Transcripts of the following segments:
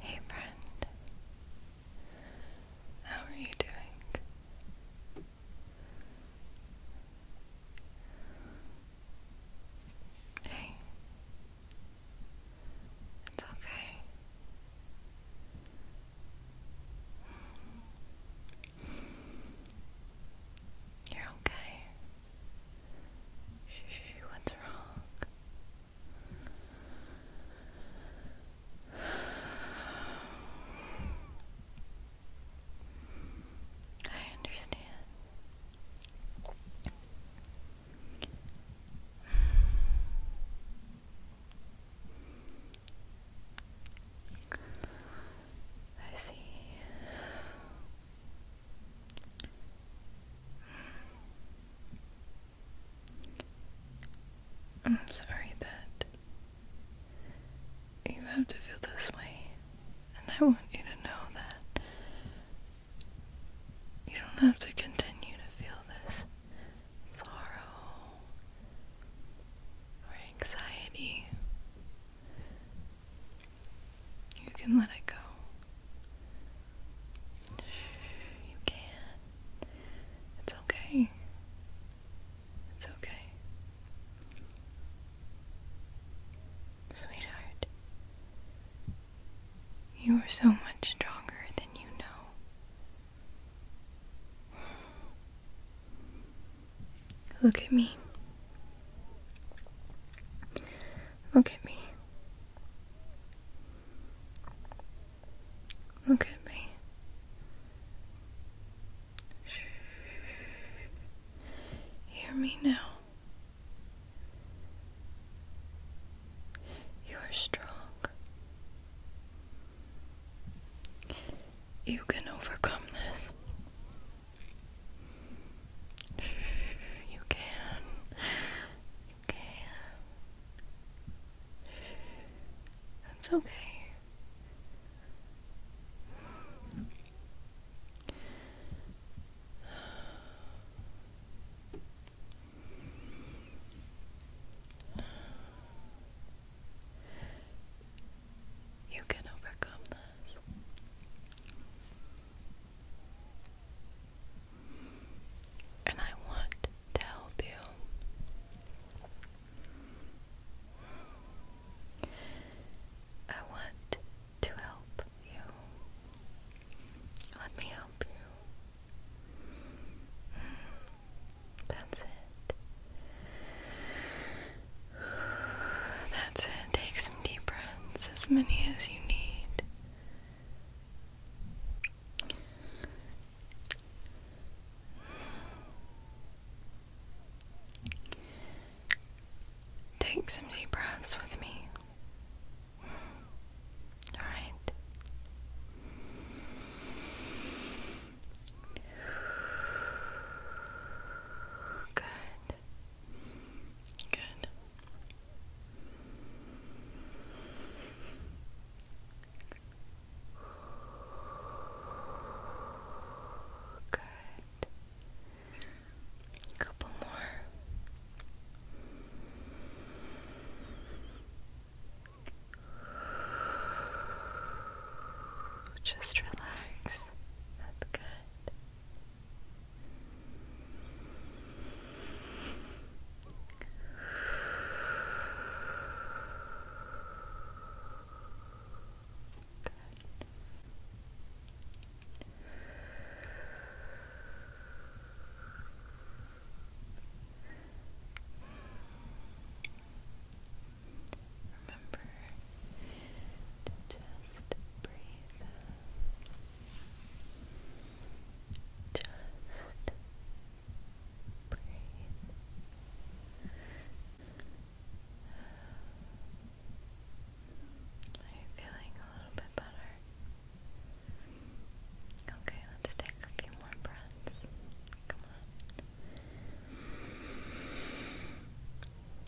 Hey friend, how are you doing? Hey, it's okay. You're okay. what's wrong? I understand. I see. I'm sorry that you have to feel this way, and I want you to know that you don't have to continue to feel this sorrow or anxiety. You can let it go. You can. It's okay. It's okay. Sweetheart, you are so much stronger than you know. Look at me. Look at me. Look at me. Hear me now. You are strong. You can overcome this. You can. You can. That's okay. You can overcome this. And I want to help you. I want to help you. Let me help you. That's it. That's it deep breaths, as many as you need. Take some deep breaths with me. All right. Good. Good. Good. A couple more. Just relax. That's good. Remember just breathe Just breathe. Are you feeling a little bit better? Okay, let's take a few more breaths. Come on.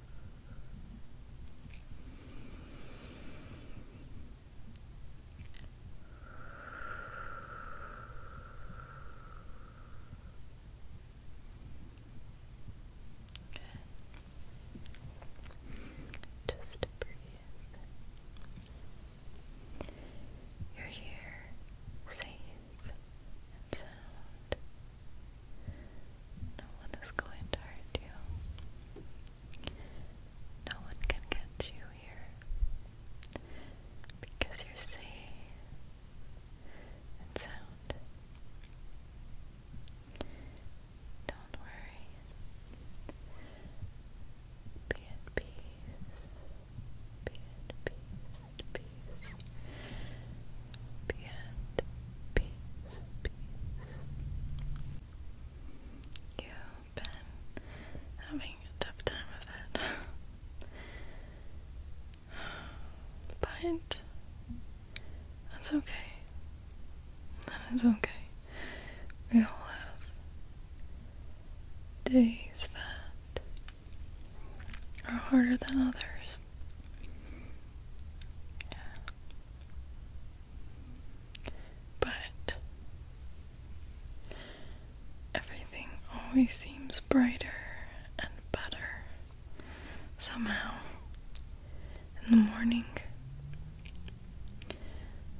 Good. Just breathe. You're here, safe and sound. No one is going to hurt you. No one can get you here because you're safe and sound. Don't worry. Be at peace. Be peace peace. Beyond peace, peace. You've been having a tough time with it. but um, that's okay. That is okay. We all have days that are harder than others. But everything always seems brighter and better somehow in the morning.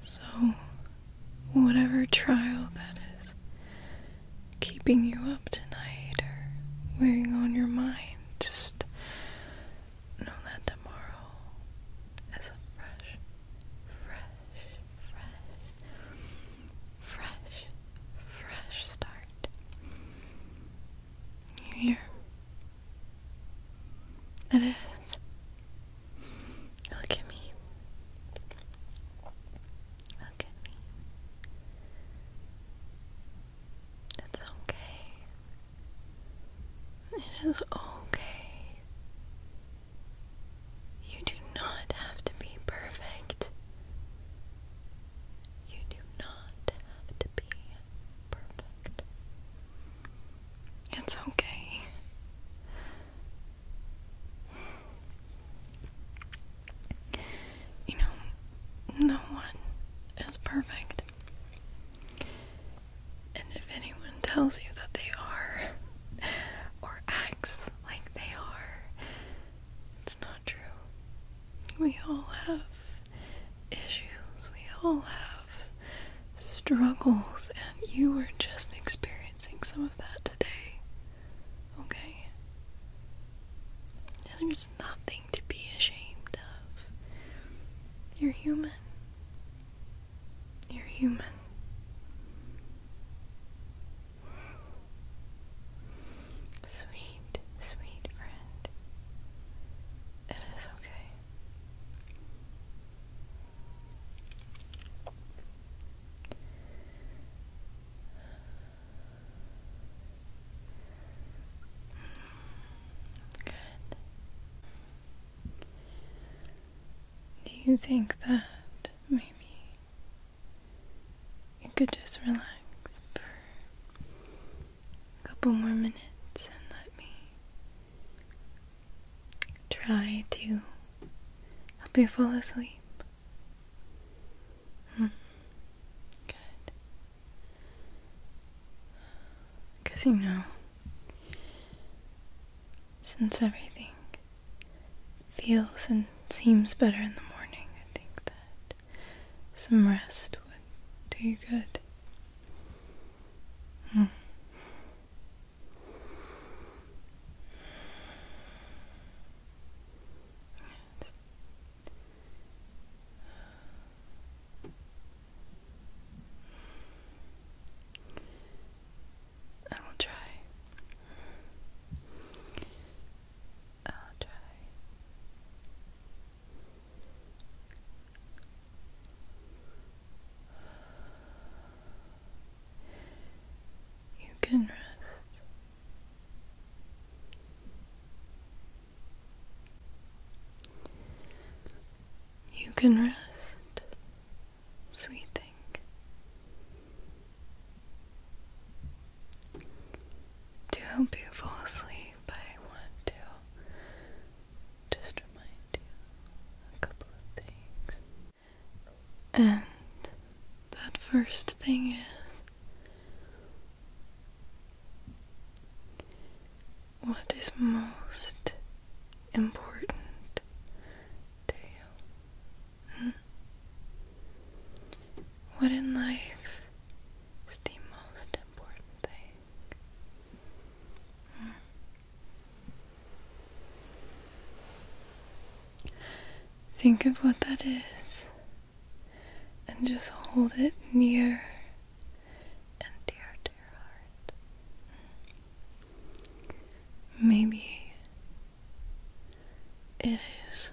So, whatever trial that is keeping you up tonight or wearing on your mind. Just know that tomorrow is a fresh, fresh, fresh, fresh, fresh start. You It is. Look at me. Look at me. It's okay. It is okay. You do not have to be perfect. You do not have to be perfect. It's okay. You know, no one is perfect. And if anyone tells you that they are, or acts like they are, it's not true. We all have issues, we all have struggles, and you were just experiencing some of that today. Okay? nothing to be ashamed of. You're human. You're human. Sweet, sweet friend. It is okay. Do you think that maybe you could just relax for a couple more minutes and let me try to help you fall asleep? Hmm. Good. Because you know, since everything feels and seems better in the morning, I think that some rest would do you good. Hmm. I will try. I'll try. You can rest. You can rest, sweet thing. To help you fall asleep, I want to just remind you a couple of things. And that first thing is what is most important to you? Hmm? What in life is the most important thing? Hmm? Think of what that is and just hold it near and dear to your heart. Maybe it is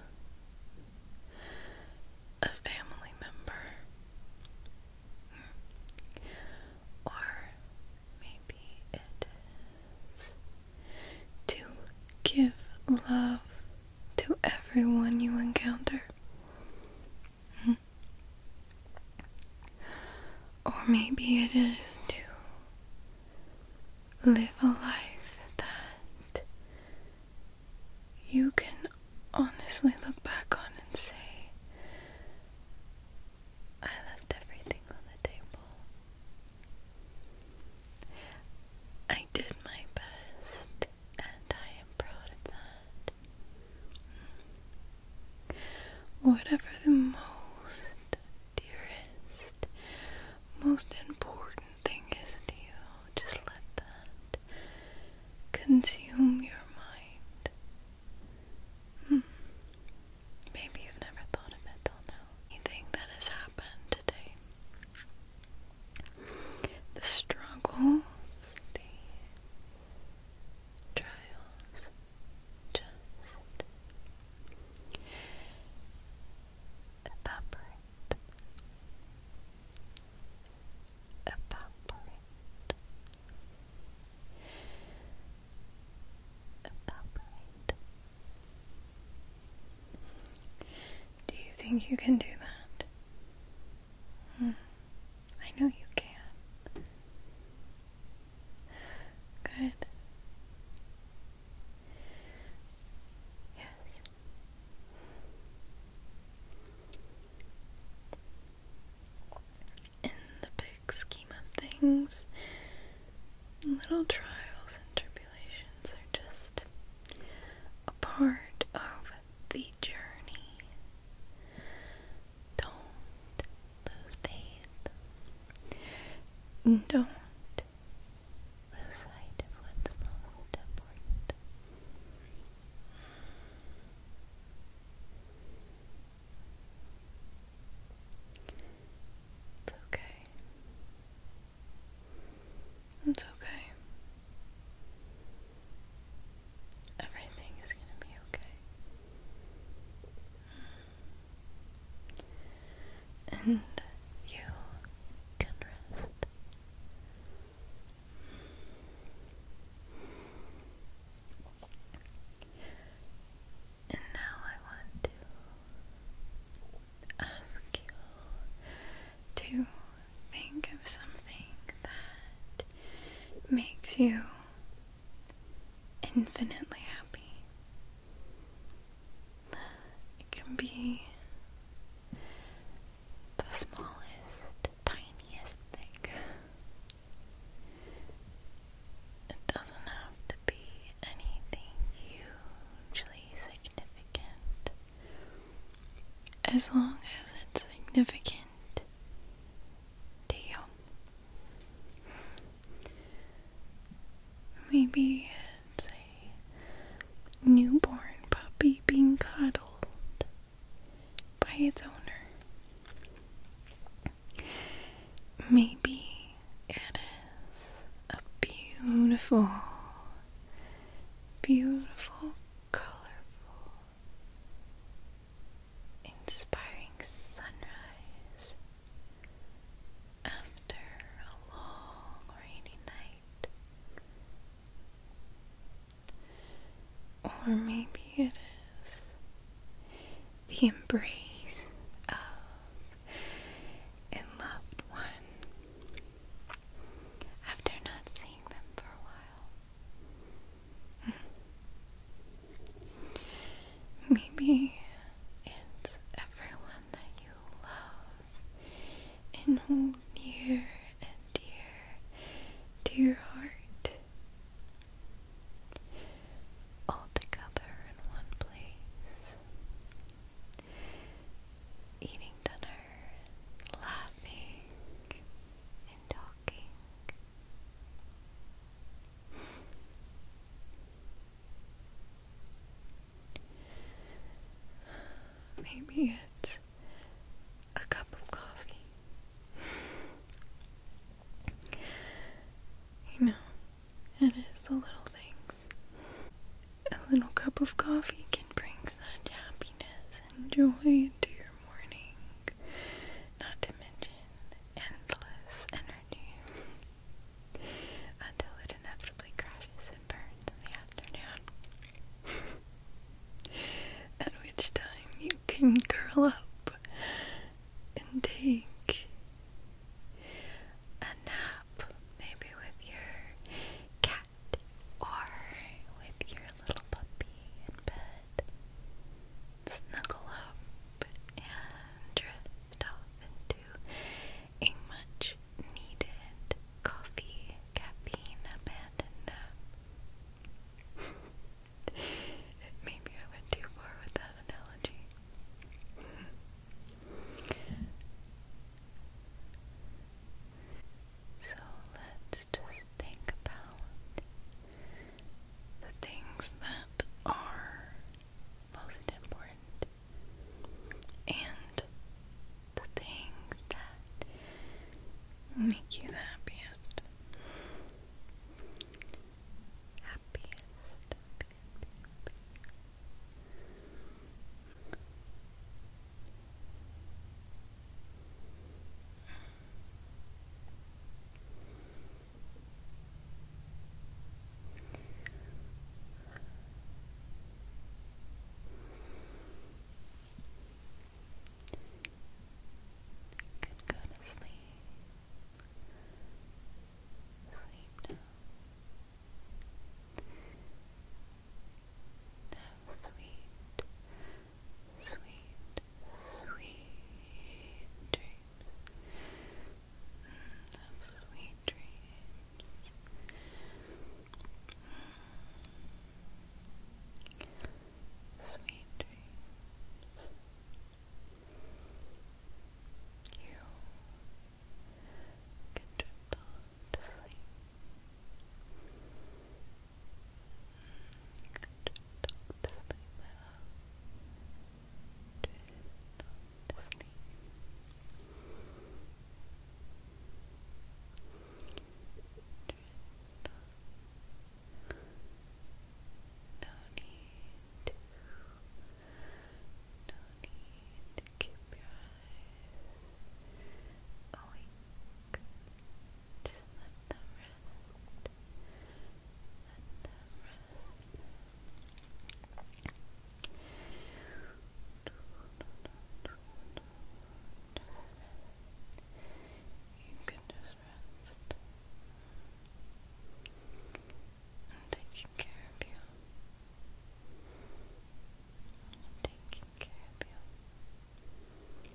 a family member, or maybe it is to give love to everyone you encounter. Hmm. Or maybe it is to live a life that you can honestly look back on and say, I left everything on the table. I did my best, and I am proud of that. Whatever the most dearest, most important thing is to you, just let that consume your mind. Hmm. Maybe you've never thought of it till now. Anything that has happened today. The struggles, the trials, just evaporate, evaporate, do you think you can do that? Hmm. I know you can. Good. Yes. In the big scheme of things, Little trials and tribulations are just a part of the journey. Don't lose faith. Don't lose sight of what's most important. It's okay. It's okay. Everything is going to be okay. And you can rest. And now I want to ask you to think of something that makes you infinitely happy. It can be the smallest, tiniest thing. It doesn't have to be anything hugely significant. As long as it's significant to you. Maybe it's a newborn puppy being cuddled by its owner. Maybe it is a beautiful, beautiful, colorful, inspiring sunrise after a long rainy night. Or maybe it the embrace of a loved one after not seeing them for a while. Hmm. Maybe it's everyone that you love and hold near and dear to your heart all together in one place, eating dinner, laughing, and talking. Maybe it's a cup of coffee. You know, it is the little things. A little cup of coffee can bring such happiness and joy to your morning, not to mention endless energy until it inevitably crashes and burns in the afternoon. At which time you can curl up and take a nap, maybe with your cat or with your little puppy in bed. Snuggle up and drift off into a much needed coffee, caffeine, abandoned Maybe I went too far with that analogy. so let's just think about the things that are most important and the things that make you the happiest happiest, You can go to sleep. Sleep now. sweet, sweet, sweet dreams. sweet dreams. Sweet dreams. You can drift on to sleep. You can drift to sleep, my love. Drift to sleep. Drift on to sleep. No need no need to keep your eyes awake. Just let them rest. Let them rest. You can just rest I'm taking care of you I'm taking care of you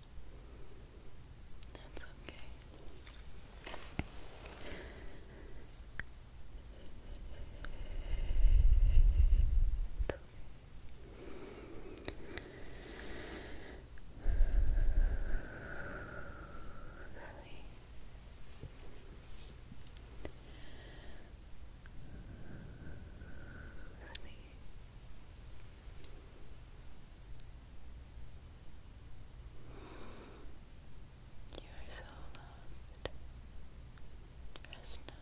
That's okay. Sleep. Sleep. You are so loved. Rest now.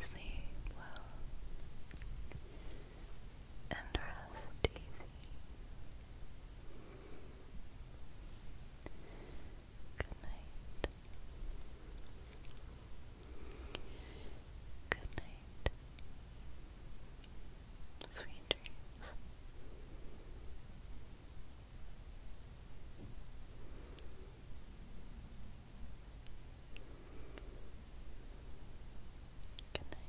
Sleep well and rest easy. Good night. Good night. Sweet dreams. Good night.